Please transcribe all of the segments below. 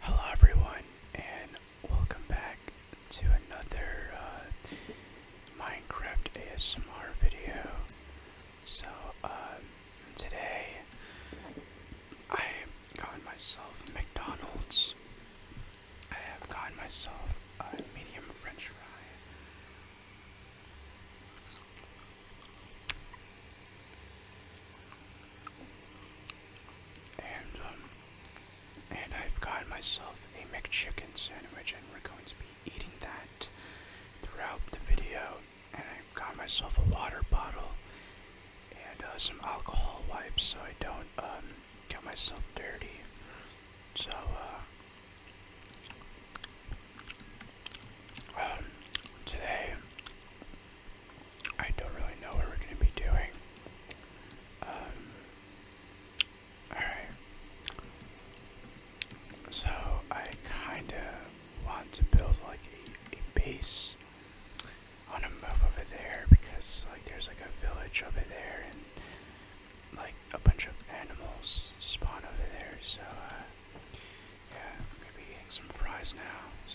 Hello everyone and welcome back to another uh, Minecraft ASMR video. So um, today I got myself McDonald's. I have got myself a medium french fry. And um and I've got myself a McChicken sandwich and we're going to be eating that throughout the video. And I've got myself a water bottle and uh, some alcohol wipes so I don't um, get myself dirty. So uh, um, today I don't really know what we're going to be doing. Um, alright. So, I kind of want to build like a, base on a move over there because like there's like a village over there and like a bunch of animals spawn over there so uh, yeah I'm gonna be eating some fries now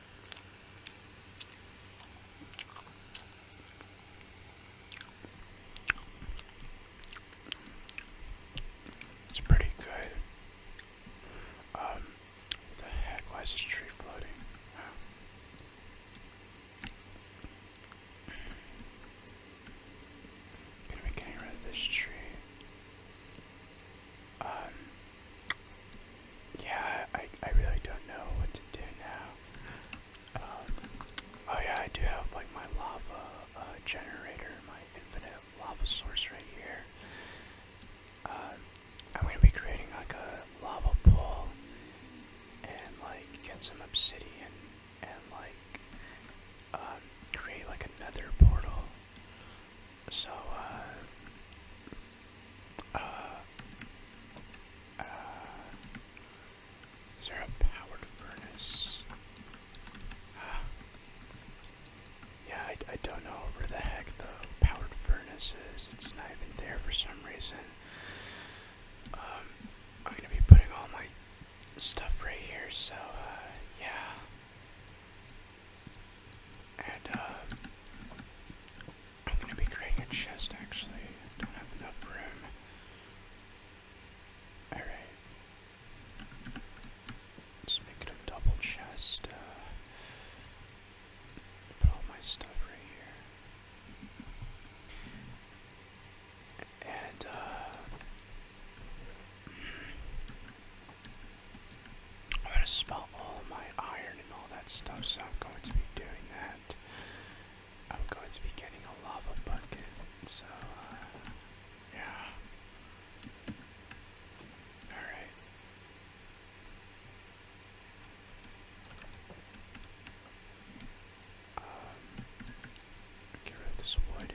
It's pretty good. Um, the heck? Why is this tree floating? Gonna be getting rid of this tree. Um, yeah, I, I really don't know what to do now. Um, oh yeah, I do have like my lava uh, generator, my infinite lava source right here. Um, I'm gonna be creating like a lava pool and like get some obsidian and like um, create like another portal so, uh, uh, uh, is there a powered furnace? Ah. Yeah, I, I don't know where the heck the powered furnace is. It's not even there for some reason. Um, I'm gonna be putting all my stuff right here, so, uh, yeah. And uh, I'm gonna be creating a chest actually. I don't have enough room. Alright. Let's make it a double chest. Uh, put all my stuff right here. And, uh, I'm gonna smelt all my iron and all that stuff, so I'm going to be doing that. I'm going to be getting a lava bucket, so, uh, yeah. Alright. Um, get rid of this wood.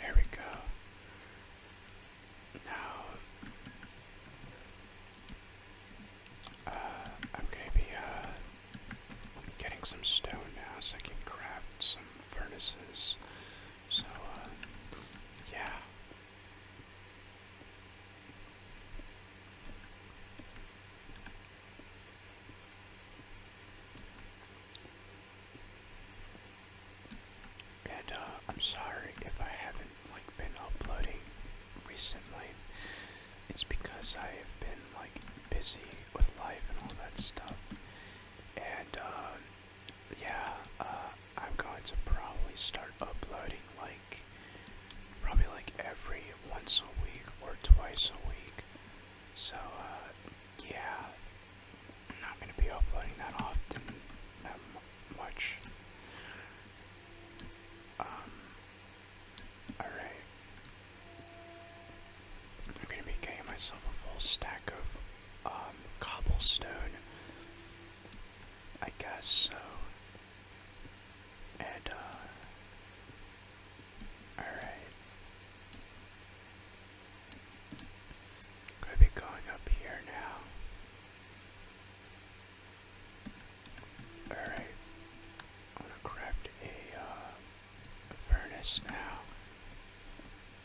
There we go. Now, uh, I'm gonna be uh, getting some stone now so I can craft some furnaces. So, uh, yeah. And uh, I'm sorry if I haven't like been uploading recently. It's because I have been like busy with life and all that stuff. And uh, yeah, uh, I'm going to probably start uploading like probably like every once a week or twice a week. So yeah, I'm not going to be uploading that often, that much. Um, alright. I'm going to be getting myself a full stack of um, cobblestone. I guess so. And, uh, Alright. I'm going to be going up here now. Alright. I'm going to craft a, uh, furnace now.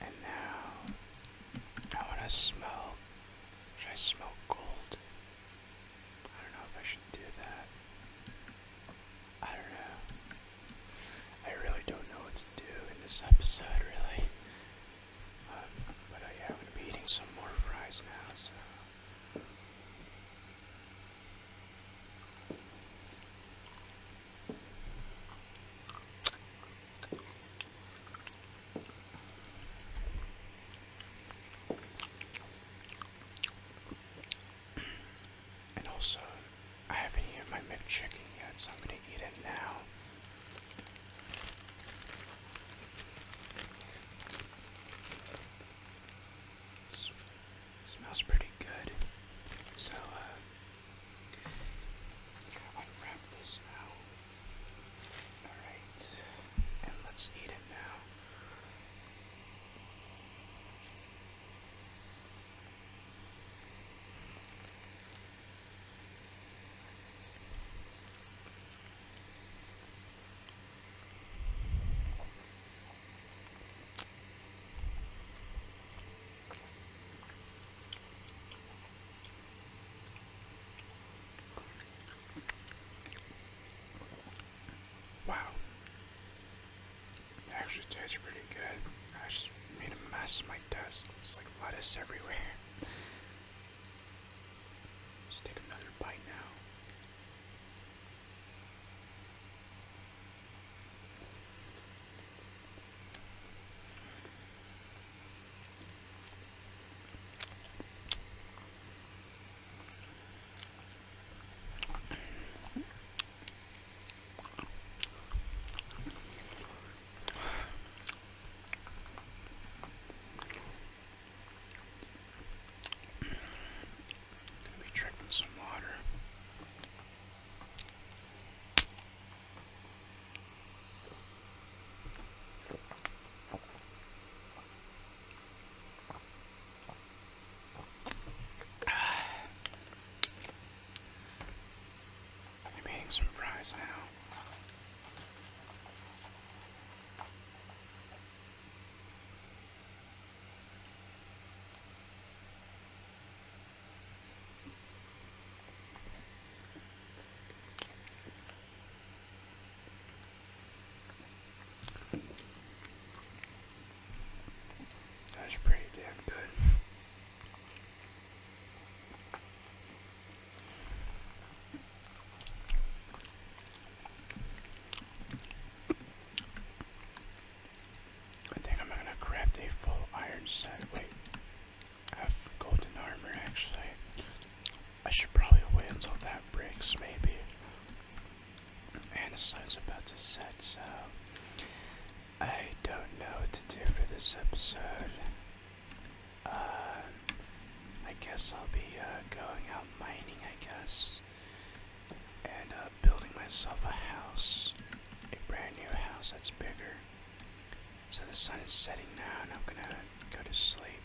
And now I want to smell. Should I smell gold? I don't know if I should do that. I don't know. I really don't know what do in this episode, really. Um, but uh, I'm eating some more fries now, so. And also, I haven't eaten my McChicken yet, so I'm gonna eat it now. smells pretty good. So, uh, this now. Alright, and let's eat it now. Wow. It actually tastes pretty good. I just made a mess of my it's like lettuce everywhere. let take another bite now. Gonna be drinking some water. I'm eating some fries now. That's pretty damn good. I think I'm gonna craft a full iron set. Wait, I have golden armor actually. I should probably wait until that breaks, maybe. And the sun's about to set, so I don't know what to do for this episode. Um, I guess I'll be uh, going out mining, I guess, and uh, building myself a house, a brand new house that's bigger. So the sun is setting now, and I'm gonna go to sleep.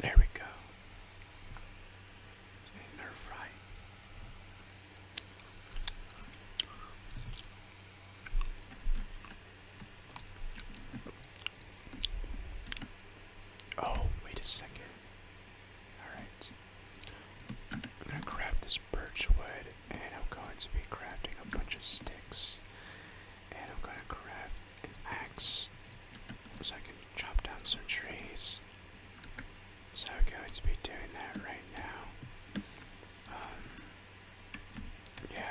There we go. Oh, wait a second. Alright. I'm gonna grab this birch wood and I'm going to be crafting a bunch of sticks. And I'm gonna craft an axe so I can chop down some trees. So I'm going to be doing that right now. Um, yeah.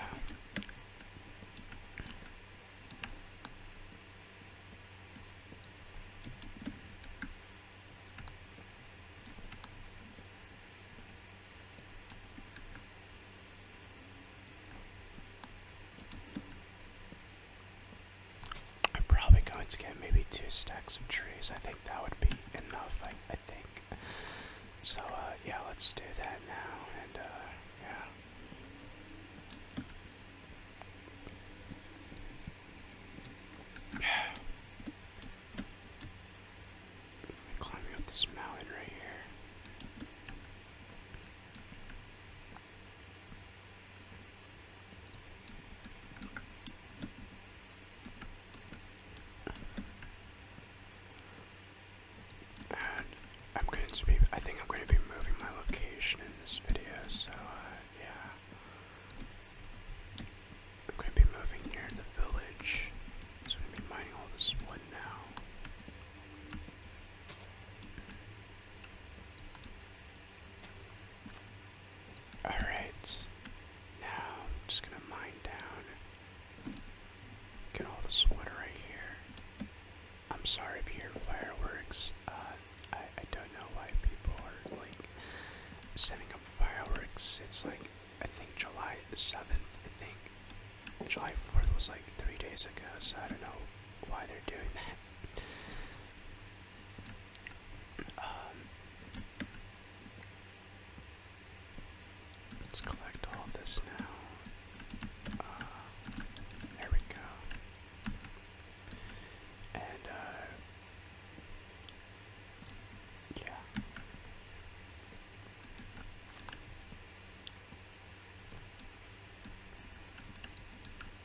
I'm probably going to get maybe two stacks of trees. I think that would be enough, I, think. So, uh, yeah, let's do that now, and, uh, yeah. Climbing up this mountain right here. And I'm going to be, I think I'm going to be moving my location in this video, so uh, yeah. I'm going to be moving near the village, I'm going to be mining all this wood now. Alright. Now I'm just gonna mine down. Get all the wood right here. I'm sorry if you hear fireworks. Uh, I, I don't know why people are like sending up fireworks. It's like I think July 7th, I think. July 4th was like three days ago, so I don't know why they're doing that. Um, let's collect all this now. Uh, there we go. And, uh, yeah.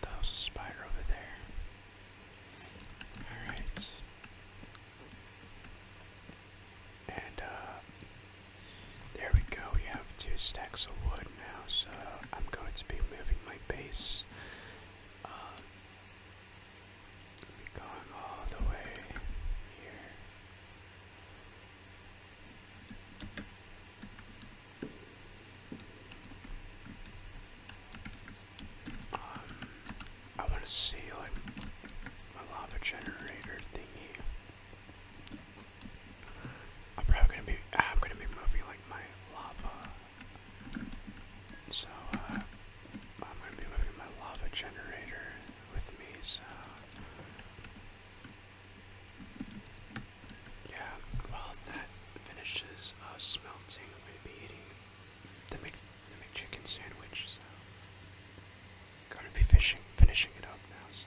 that was a spider over there. Alright. And, uh, there we go. We have two stacks of wood now, so I'm going to be moving my base. Uh, going all the way here. Um, I want to see like my lava generator thingy. I'm probably gonna be. I'm gonna be moving like my lava. So uh, I'm gonna be moving my lava generator with me. So. Yeah, well, that finishes uh, smelting. I'm be eating the, Mc, the chicken sandwich, so. Gonna be fishing, finishing it up now, so.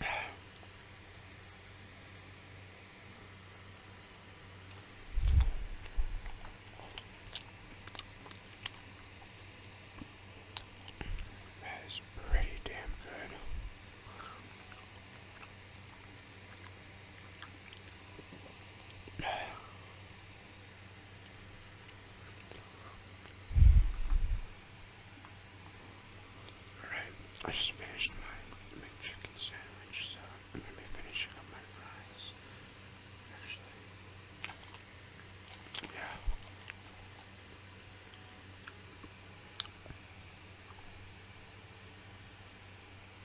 That is pretty damn good. I just finished my chicken sandwich, so I'm gonna be finishing up my fries. yeah.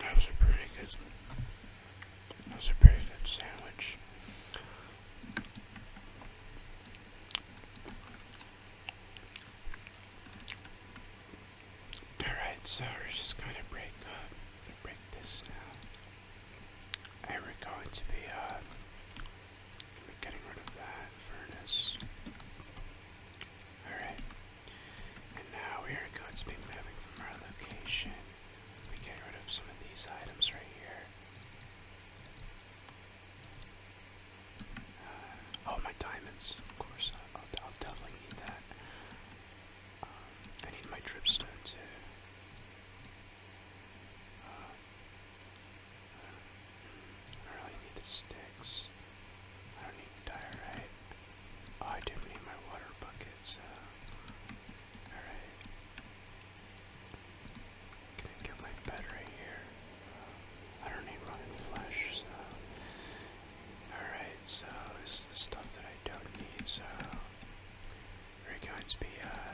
That was a pretty good. That was a pretty good sandwich. Alright, so we're just going to break up. break this now. And we're going to be uh getting rid of that furnace. Alright. And now we are going to be moving from our location. We get rid of some of these items right here oh, my diamonds, of course. I'll, definitely need that. Um, I need my dripstone too. Uh, I don't really need the sticks. I don't need diorite. Oh, I do need my water bucket. Uh, Alright. Get my battery here. I don't need running flesh, so. Alright, so this is the stuff that I don't need, so. We're going to be uh,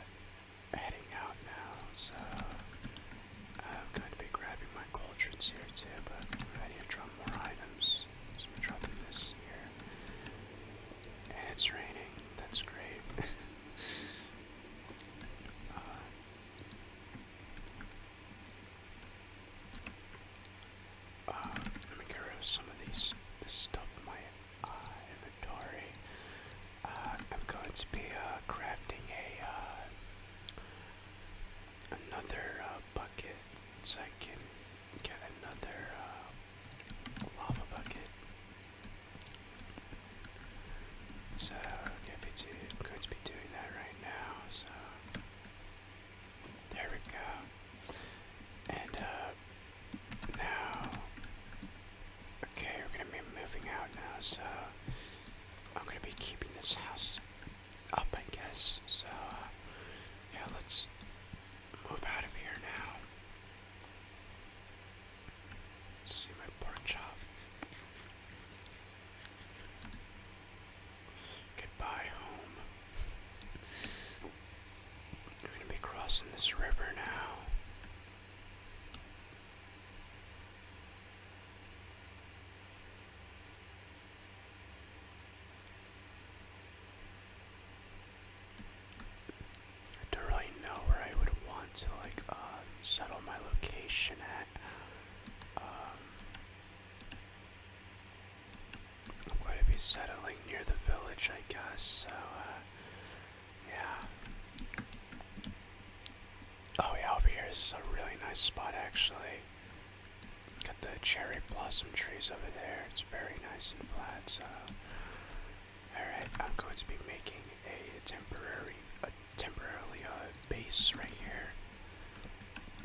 heading out now, so. I'm going to be grabbing my cauldrons here too, but I need to drop more items. So I'm dropping this here. And it's raining, that's great. Uh, let me get some of this stuff in my uh, inventory. Uh, I'm going to be crafting a another bucket so I can get another lava bucket. So could be, be doing that right now. So there we go. And uh, now, okay, we're gonna be moving out now. So I'm gonna be keeping this house up, I guess. So uh, yeah, let's move out of here now. See my pork chop. Goodbye, home. We're gonna be crossing this river now. I don't really know where I would want to like uh, settle my location at. Um, I'm going to be settling near the village, I guess. So, uh, yeah. Oh yeah, over here is a really nice spot actually. Got the cherry blossom trees over there. It's very nice and flat. So Alright, I'm going to be making a temporary, a temporarily uh, base right here.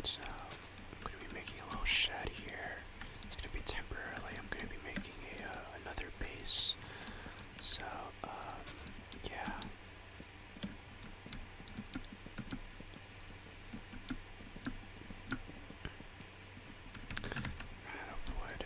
So, I'm going to be making a little shed here. It's going to be temporarily, I'm going to be making a, uh, another base. So, um, yeah. Out of wood.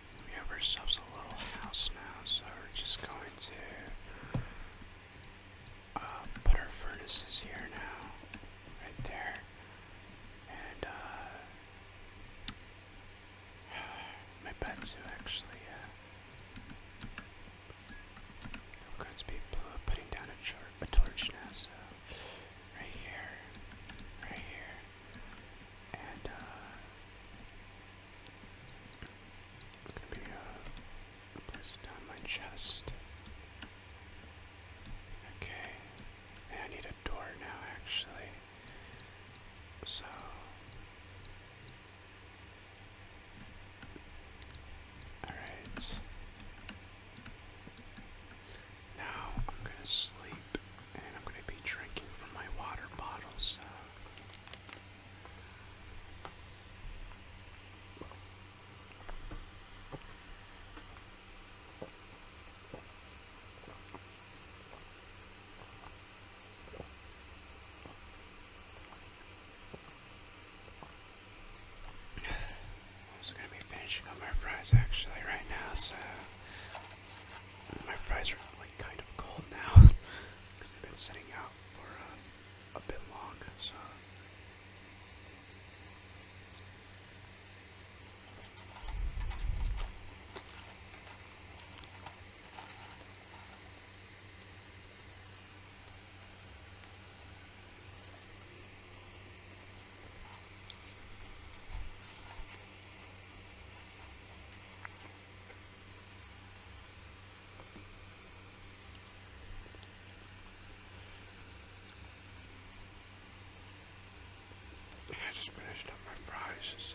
We have ourselves a little house now, so we're just going to uh, put our furnaces here now, right there, and uh, my bed too actually. Uh, I'm going to be putting down a, tor a torch now, so right here, right here, and uh, Maybe uh, place it down my chest. Okay, I need a door now actually. So. Alright. Now I'm gonna sleep and I'm gonna be drinking from my water bottle, so. I'm also gonna be finishing up my fries actually right now, so my fries are like kind of cold now because they've been sitting out for uh, a bit long. So. I just finished up my fries.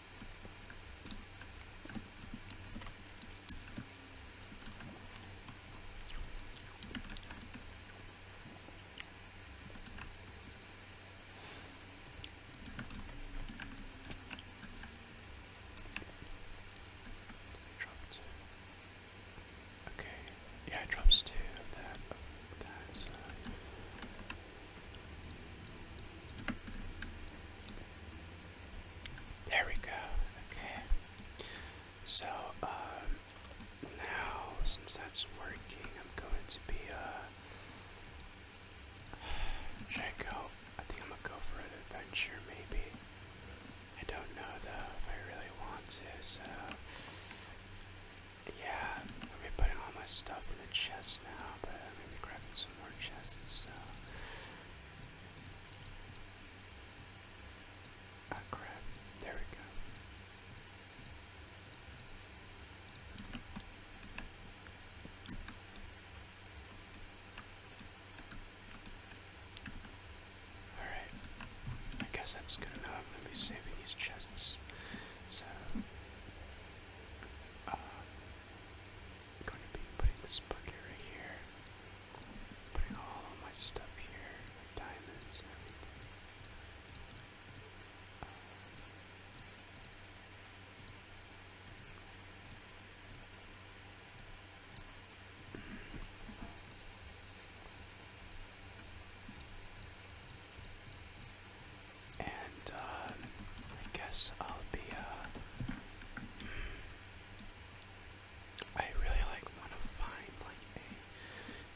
Okay, yeah, drops two of that, there we go. Okay. So um, now, since that's working, I'm going to be a uh, should I I think I'm gonna go for an adventure, maybe. I don't know though if I really want to. So yeah, I'm gonna be putting all my stuff in the chest now, but I'm gonna be grabbing some some more chests, Ah, crap. There we go. Alright. I guess that's good enough. I'm going to be saving these chests. So... Uh, I'm going to be putting this bucket right here. Putting all of my stuff here, diamonds and uh, I guess I'll be. Uh, I really like want to find like a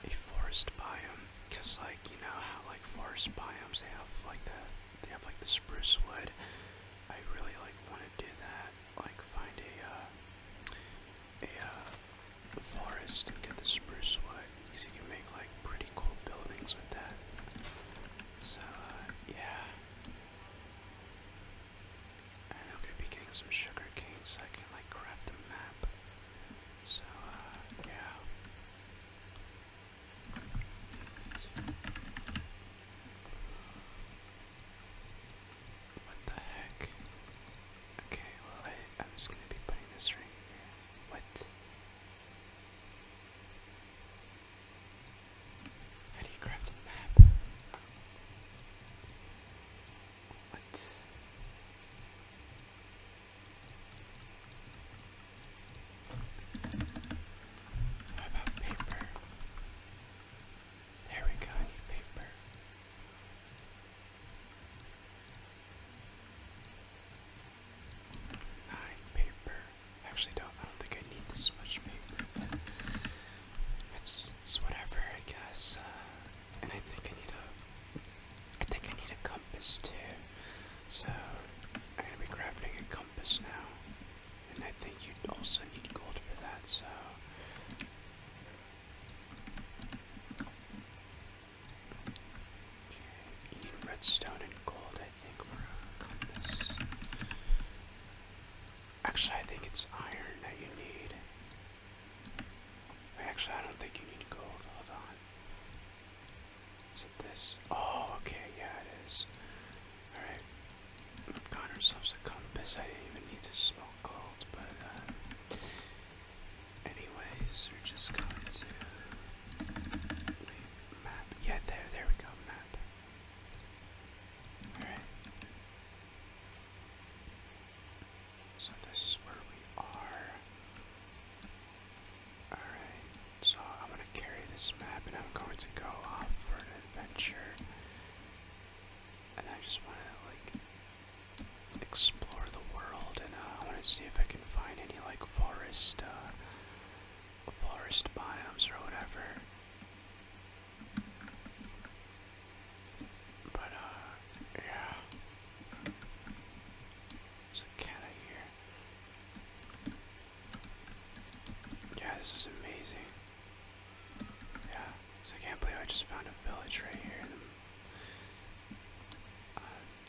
a forest biome, cause like you know how like forest biomes they have like the they have like the spruce wood. I really like want to do that, like find a uh, a forest and get the spruce wood, cause you can make like pretty cool buildings with that. So, uh, yeah. I'm gonna be getting some sugar so I can, like, craft a map. So, uh, yeah. What the heck? Okay, well, I, I'm just gonna be putting this right here. What? How do you craft a map? What? How about paper? There we go, need paper nine paper. Actually, don't. I don't think I need this much paper, it's it's whatever, I guess. Uh, and I think I need a. I think I need a compass too. So I'm gonna be crafting a compass now, and I think you also need gold for that. So. You need redstone and gold, I think, for a compass. Actually, I think it's iron that you need. Actually, I don't think you need gold. Hold on. Is it this? Oh, okay, yeah, it is. Alright. We've gotten ourselves a compass. I didn't even need to smoke gold, but, uh. Anyways, we're just going to leave map. Yeah, there, there we go, map. Alright. So this is where we are. Alright, so I'm gonna carry this map and I'm going to go off for an adventure. And I just wanna like explore the world and uh, I wanna see if I can find any like forest uh, forest biomes or whatever. But, uh, yeah. There's a cat here. Yeah, this is amazing. Yeah, so I can't believe I just found a village right here.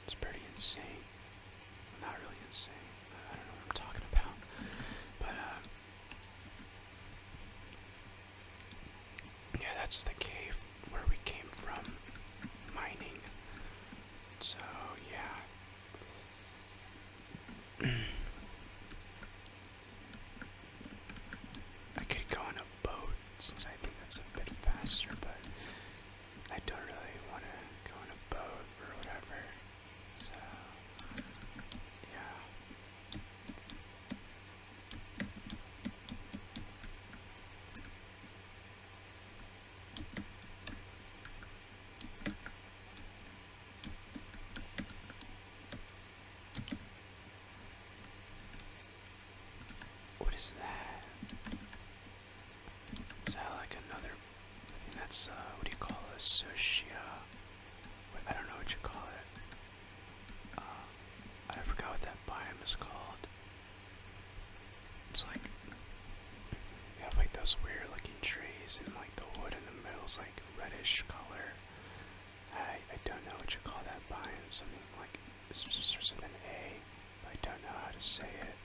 It's pretty insane. Not really insane. I don't know what I'm talking about. But, uh, Yeah, that's the cave where we came from mining. So, yeah. I could go on a boat I think that's a bit faster, but I don't really want to go on a boat or whatever. So, yeah. What is that? Is like another? I think that's uh, what do you call a sushi? I don't know what you call it. Uh, I forgot what that biome is called. It's like you have like those weird looking trees, and like the wood in the middle is like reddish color. I I don't know what you call that biome. Something like starts with an A. But I don't know how to say it.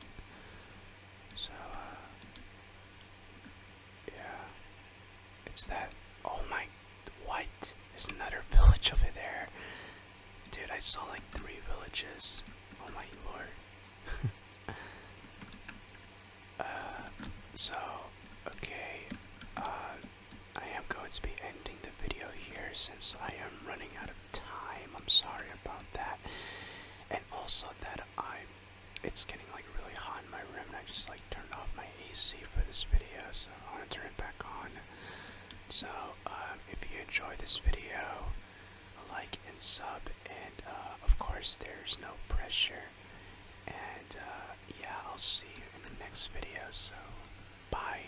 So, uh, yeah, it's that. Oh my, what? There's another village over there. Dude, I saw like three villages. Oh my lord. uh, so, okay, uh, I am going to be ending the video here since I am running out of time. I'm sorry about that. And also that I, it's getting like really hot in my room, and I just like turned off my AC for this video, so I want to turn it back on. So um, if you enjoy this video, like and sub, and uh, of course there's no pressure. And uh, yeah, I'll see you in the next video. So bye.